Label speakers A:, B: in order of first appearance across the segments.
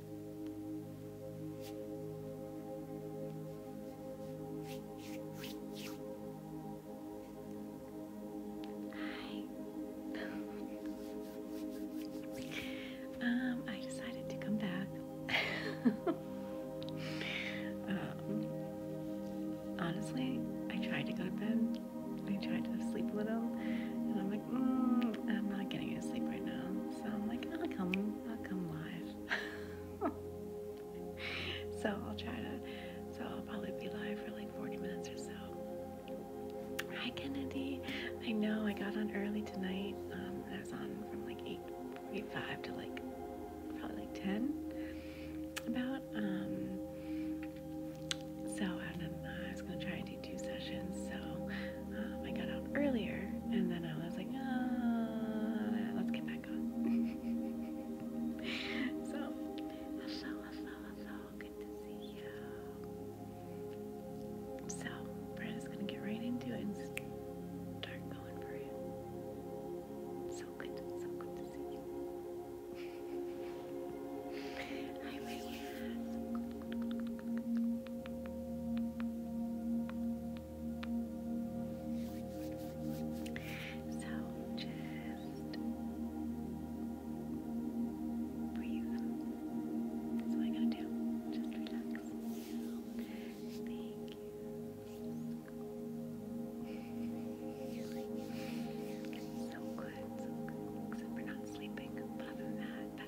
A: Hi.
B: um, I decided to come back. um, honestly, I tried to go to bed. I tried to sleep a little, and I'm like, mm, I'm not getting to sleep right now. So I'm like, I'll come I'll come live. so I'll try to, so I'll probably be live for like 40 minutes or so. Hi Kennedy. I know I got on early tonight. Um, I was on from like eight forty-five to like probably like 10 about. Um, so I, I was going to try and do two sessions. So I got out earlier and then I was like, uh, let's get back on. so, hello, hello, hello. Good to see you. So, Brad going to get right into it and start going for it.
A: So good, so good to see you. So just
B: breathe. That's what I'm going to do. Just relax. Thank you. So good, so good. Except we're not sleeping. But other than that,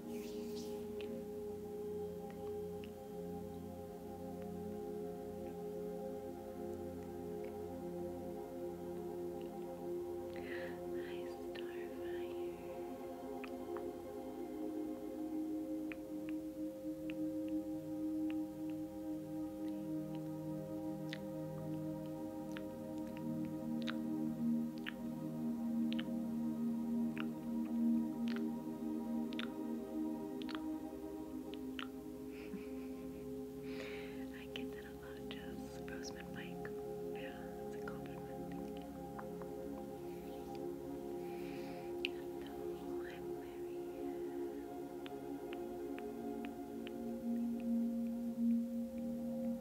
B: I starfire. I
A: get that a lot, just Roseman Mike. Yeah, it's a compliment. Thank you.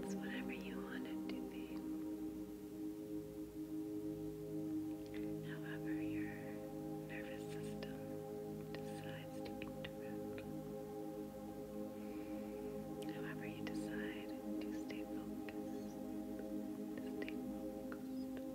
B: It's whatever you want to be. However, your nervous system decides to interact. However, you decide to stay focused, to stay focused, focused, focused.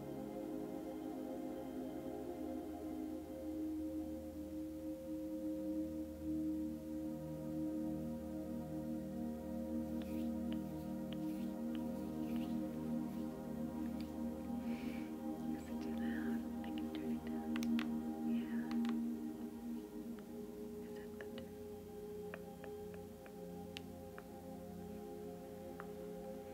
A: Is it too loud? I can turn it down. Yeah. Is that better?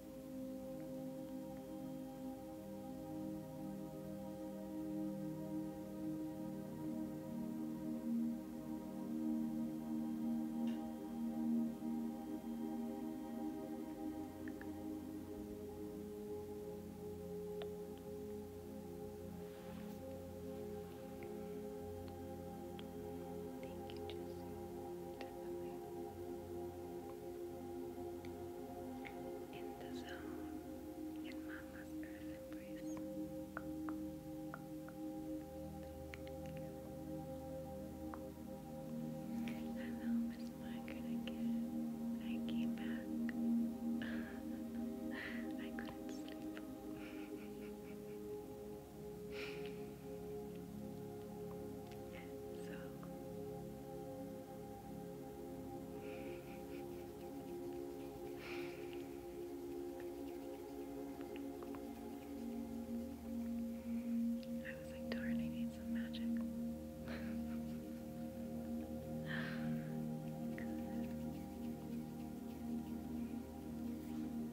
A: Thank you,
B: Jesse. In the zone, in Mama's earth embrace. Hello, Miss Margaret again. I came back. I couldn't sleep. I was like, darn, I need some magic.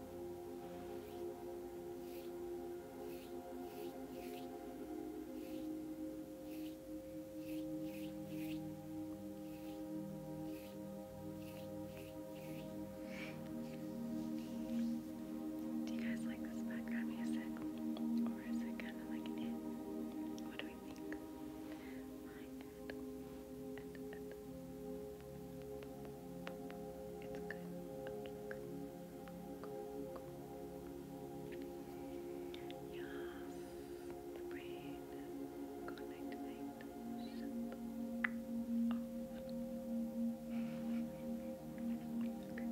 A: Do you guys like this background music? Or is it kind of like What do we think? It's good. Yes, the brain. Good night, night. Shut Okay.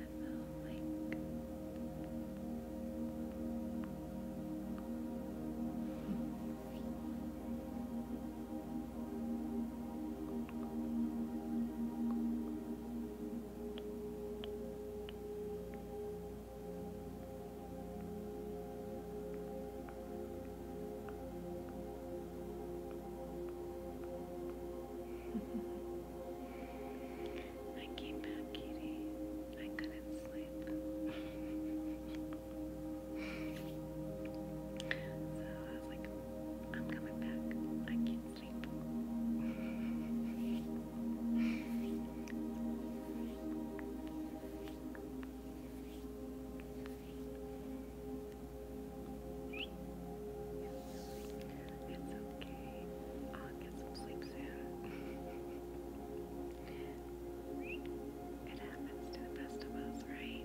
B: and they'll link. I came back, Kitty. I couldn't sleep. so I was like, I'm coming back. I can't sleep. It's okay get some it happens to the best of us, right?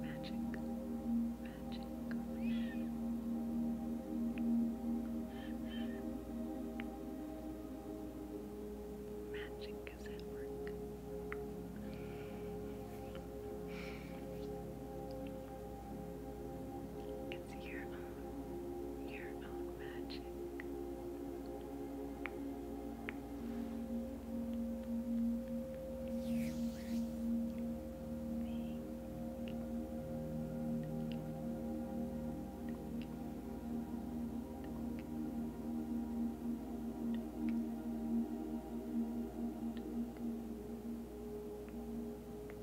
B: Magic, magic. Magic is at work. It's your own, your own magic. You Thank you.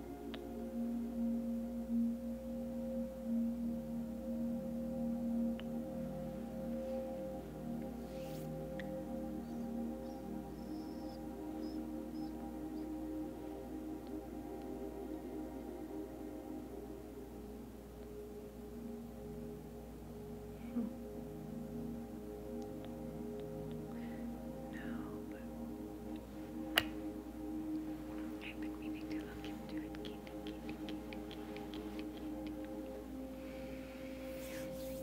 A: No, hmm. but I've been meaning to look into it. Kitty, kitty, kitty, kitty, kitty, kitty. Absolutely.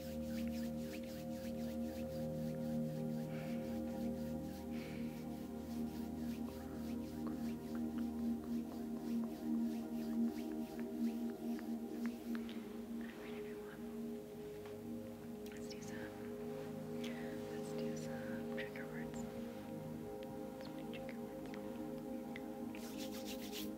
B: Let's do some. Let's do some trigger words. Some trigger words.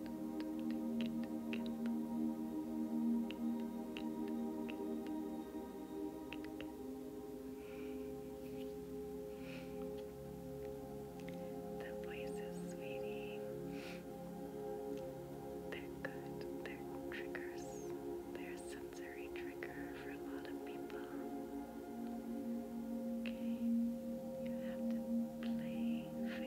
B: The voices, sweetie, they're good. They're triggers. They're sensory trigger for a lot of people. Okay, you have to play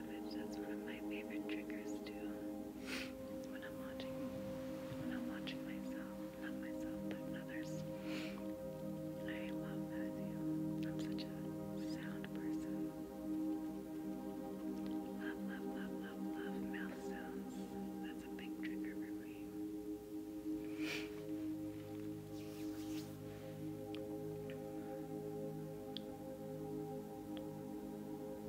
B: That's one of my favorite triggers too. When I'm watching, when I'm watching myself, not myself, but others. I love that I'm such a sound person. Love, love, love, love, love mouth sounds. That's a big trigger for me.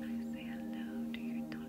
B: Just say hello to your dog.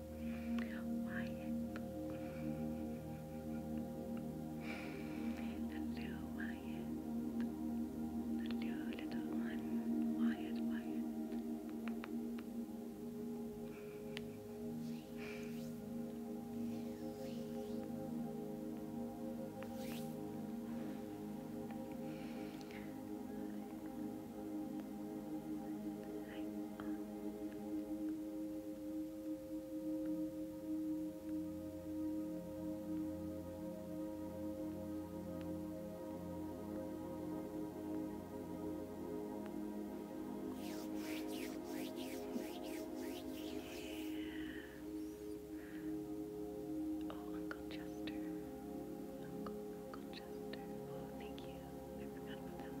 B: Wyatt. A little Wyatt. A little little one. Wyatt, Wyatt. Oh, Uncle Chester. Uncle, Uncle Chester. Oh, thank you. I forgot about that one.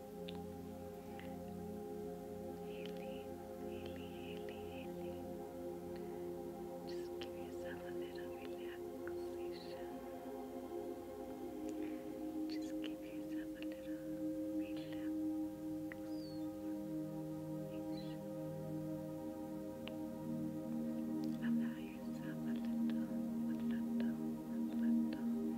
B: Haley, Haley, Haley, Haley. Just give yourself a bit of relaxation. Just give yourself a little relaxation. Allow yourself a little, a little, a little.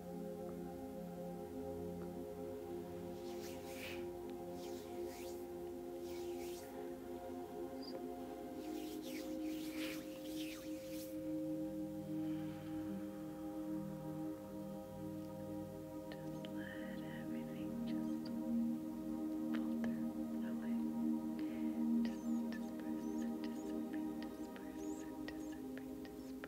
B: Just let everything just falter away. Just disperse, disperse, disperse, disperse, disperse.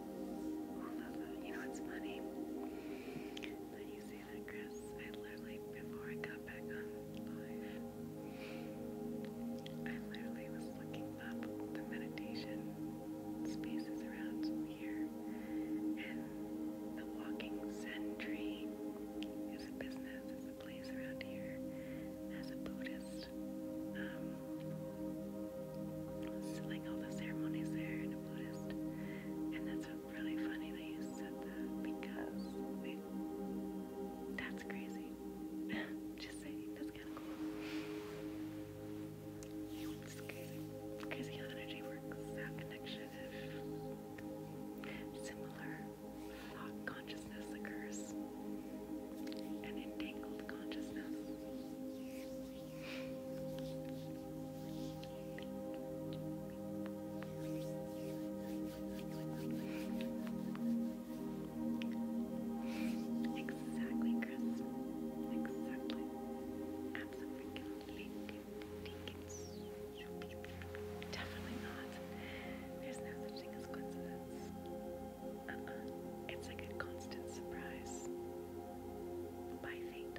B: I You know it's funny that you say that, Chris. I literally, before I got back on live, I literally was looking up the meditation spaces around here, and the Walking Zen Tree is a business, it's a place around here. As a Buddhist, um, like all the ceremonies there in a Buddhist, and that's really funny that said that because that's crazy. Just saying, that's kind of cool. crazy. energy works, how connection if similar thought consciousness occurs, an entangled consciousness. Exactly, Chris. Exactly. Absolutely. Definitely not. There's no such thing as coincidence. Uh-uh. It's like a constant surprise. By
A: fate.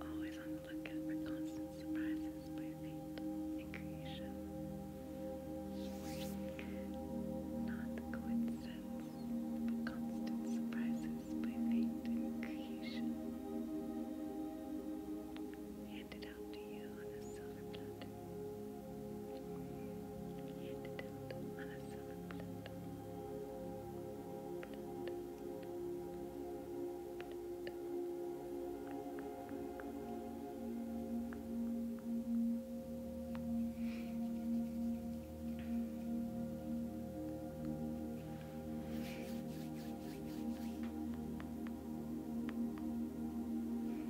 A: Always on the lookout for
B: constant surprises by fate in creation. Not coincidence, but constant surprises by fate in creation.
A: Handed out to you on a silver platter and tilt myself Pluto, Pluto, Pluto.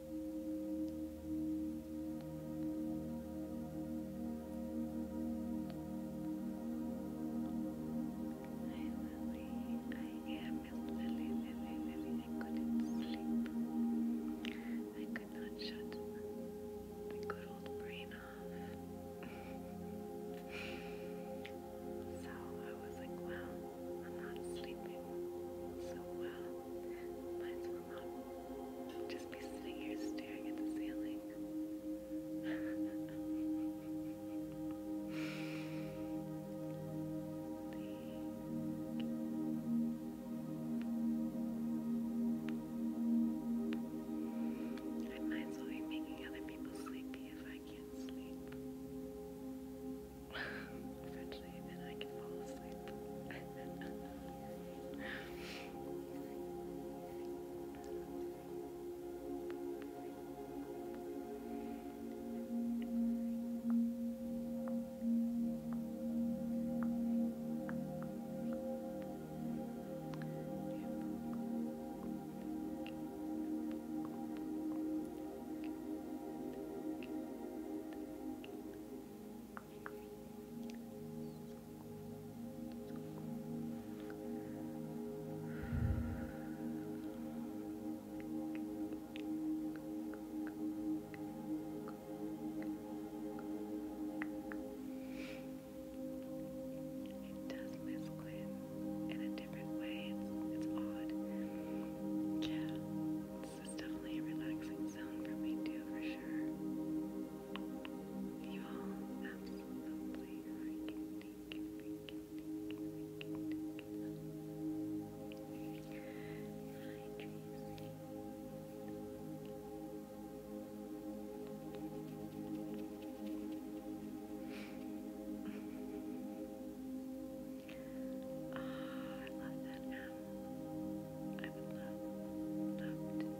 B: really, I am really, really, I couldn't sleep. I could not shut the good old brain off. so I was like, wow, I'm not sleeping so well. Mine's from mom. Just be sitting here staring at the ceiling. I
A: might as well be making other people sleepy if I can't sleep eventually, and
B: I can fall asleep.
A: It does masculine in a different way. it's odd.
B: Yeah this is definitely a relaxing zone for me too, for sure. You all absolutely freaking I love that I would love, love to know the little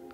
B: I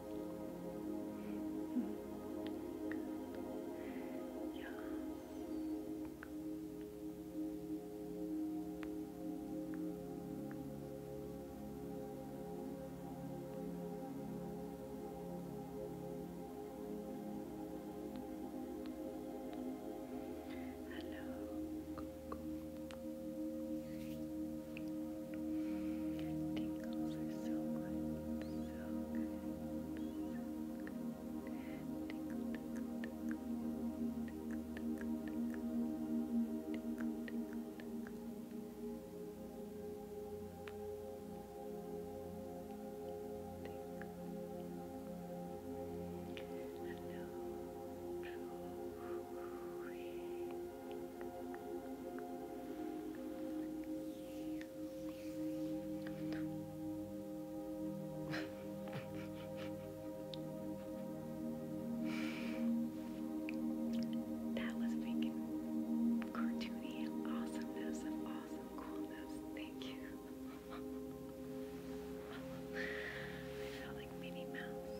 A: Good. Yeah. Hello. Tingles are so good, so good, so good. Tingle, tingle, tingle, tingle, tingle, tingle, tingle, tingle, tingle.
B: Hello. You that was freaking cartoony awesomeness awesome coolness. Thank you. I felt like Minnie Mouse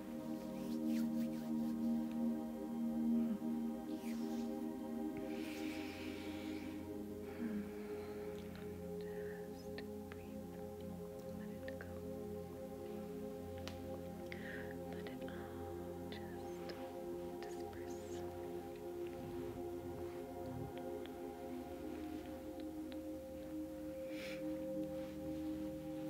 A: Just breathe. Let it go. Let it all just disperse. Just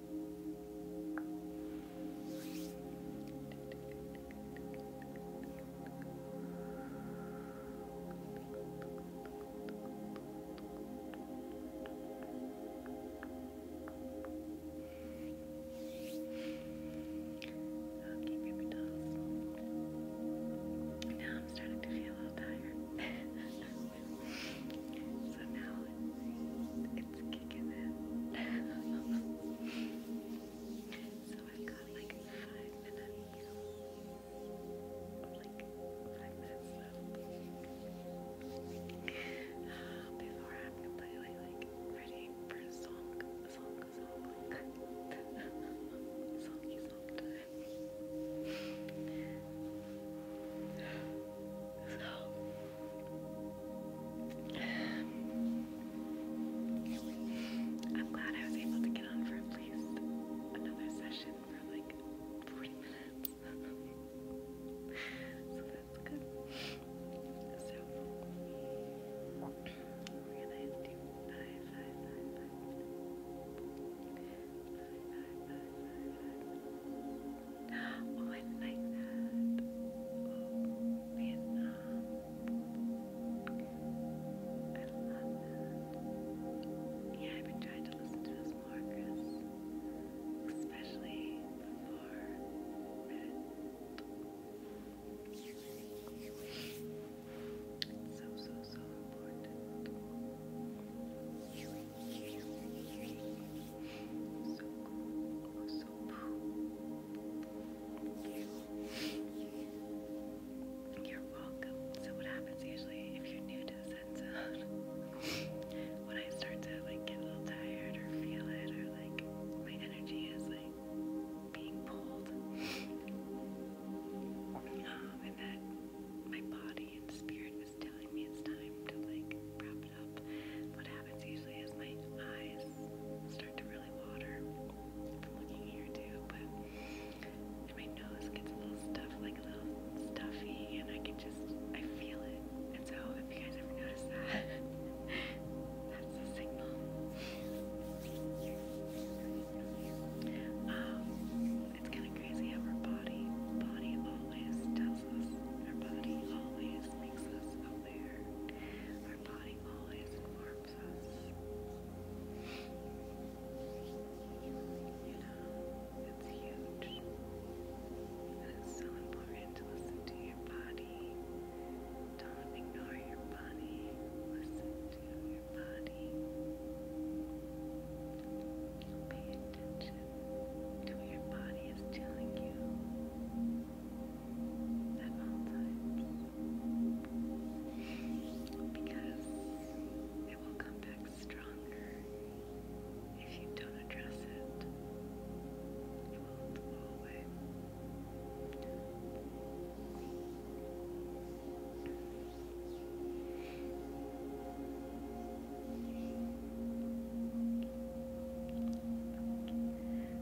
A: Okay,
B: baby dolls. Now I'm starting to feel a little tired. so now it's kicking in. so I've got like five minutes. Like five minutes before I'm completely like
A: ready for song, song, song, songy song time. So
B: I'm glad I was able to get on for at least another session for like
A: 40 minutes. so that's good. So we're gonna
B: do five, five, five, five. Oh, I like that. Vietnam. Oh, um, I love that. Yeah, I've been trying to listen to this more, Chris. Especially before Reddit. It's so, so, so important.
A: You're welcome. So what happens usually if you're new to the Zen Zone?
B: when I start to like get a little tired or feel it or like my energy is like being pulled, um, and that my body and spirit is telling me it's time to like wrap up. What happens usually is my eyes start to really water from looking here too, but and my nose gets a little stuffy, and I can just I feel it. And so if you guys ever notice that, that's a signal. Um, it's kind of crazy how our body, body always tells us, our body always makes us aware there. Our body always informs us. You know, it's huge. And it's so important to listen to your body. Don't ignore your body. Listen to your body. Pay attention to what your body is telling you at because it will come back stronger if you don't address it. It will go away.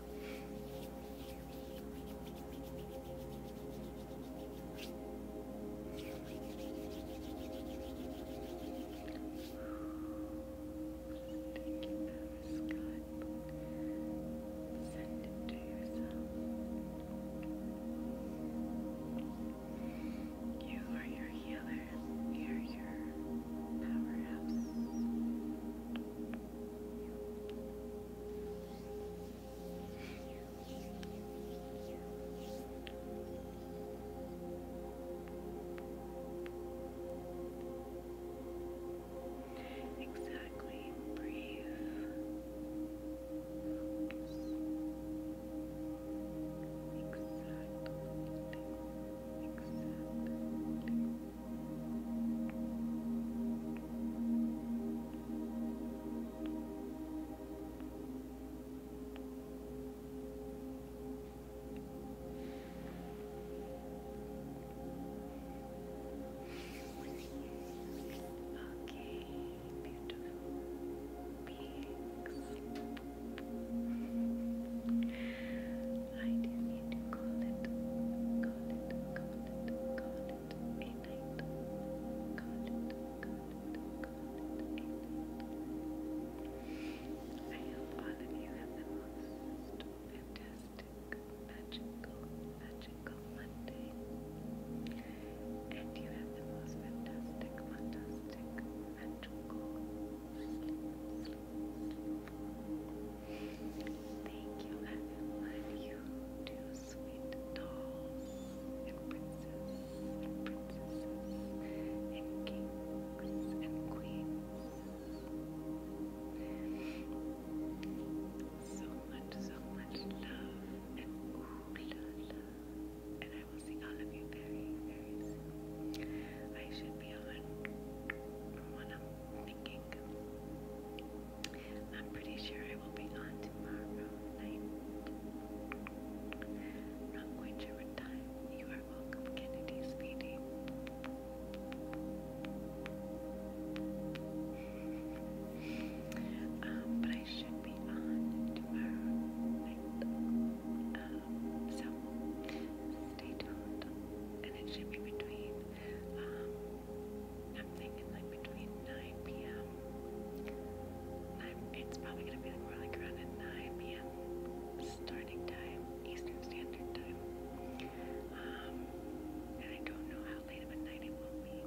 B: Send it to yourself.
A: You are your healer. You are your powerhouse. You Exactly, breathe. Focus. Exactly. Exactly. Okay, beautiful
B: beings. I did need to call it, call it, it, I hope all of you have the most fantastic, magical, magical Monday. And you have the most fantastic, fantastic, magical sleep. Thank you, everyone, you two sweet dolls and princes princesses and kings and queens. So much, so much love and ooh la la. And I will see all of you very, very soon. I should be on what I'm thinking. I'm pretty sure I will be on tomorrow night. Not quite sure what You are welcome, Kennedy, sweetie. Um, but I should be on tomorrow night. Um, so stay tuned. And it should be between um, I'm thinking like between 9 p.m. It's probably gonna be more like around at 9 p.m. starting time, Eastern Standard Time. Um, and I don't know how late of night it will be,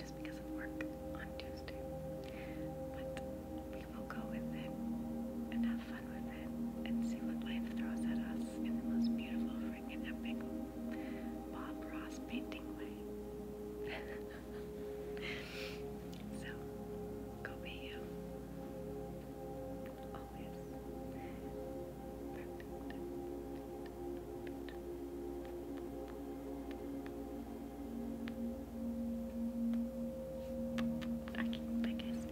B: just because of work on Tuesday. But we will go with it and have fun with it and see what life throws at us in the most beautiful, freaking epic Bob Ross painting way. so, go be you. Always. Perfect. I can't, I guess.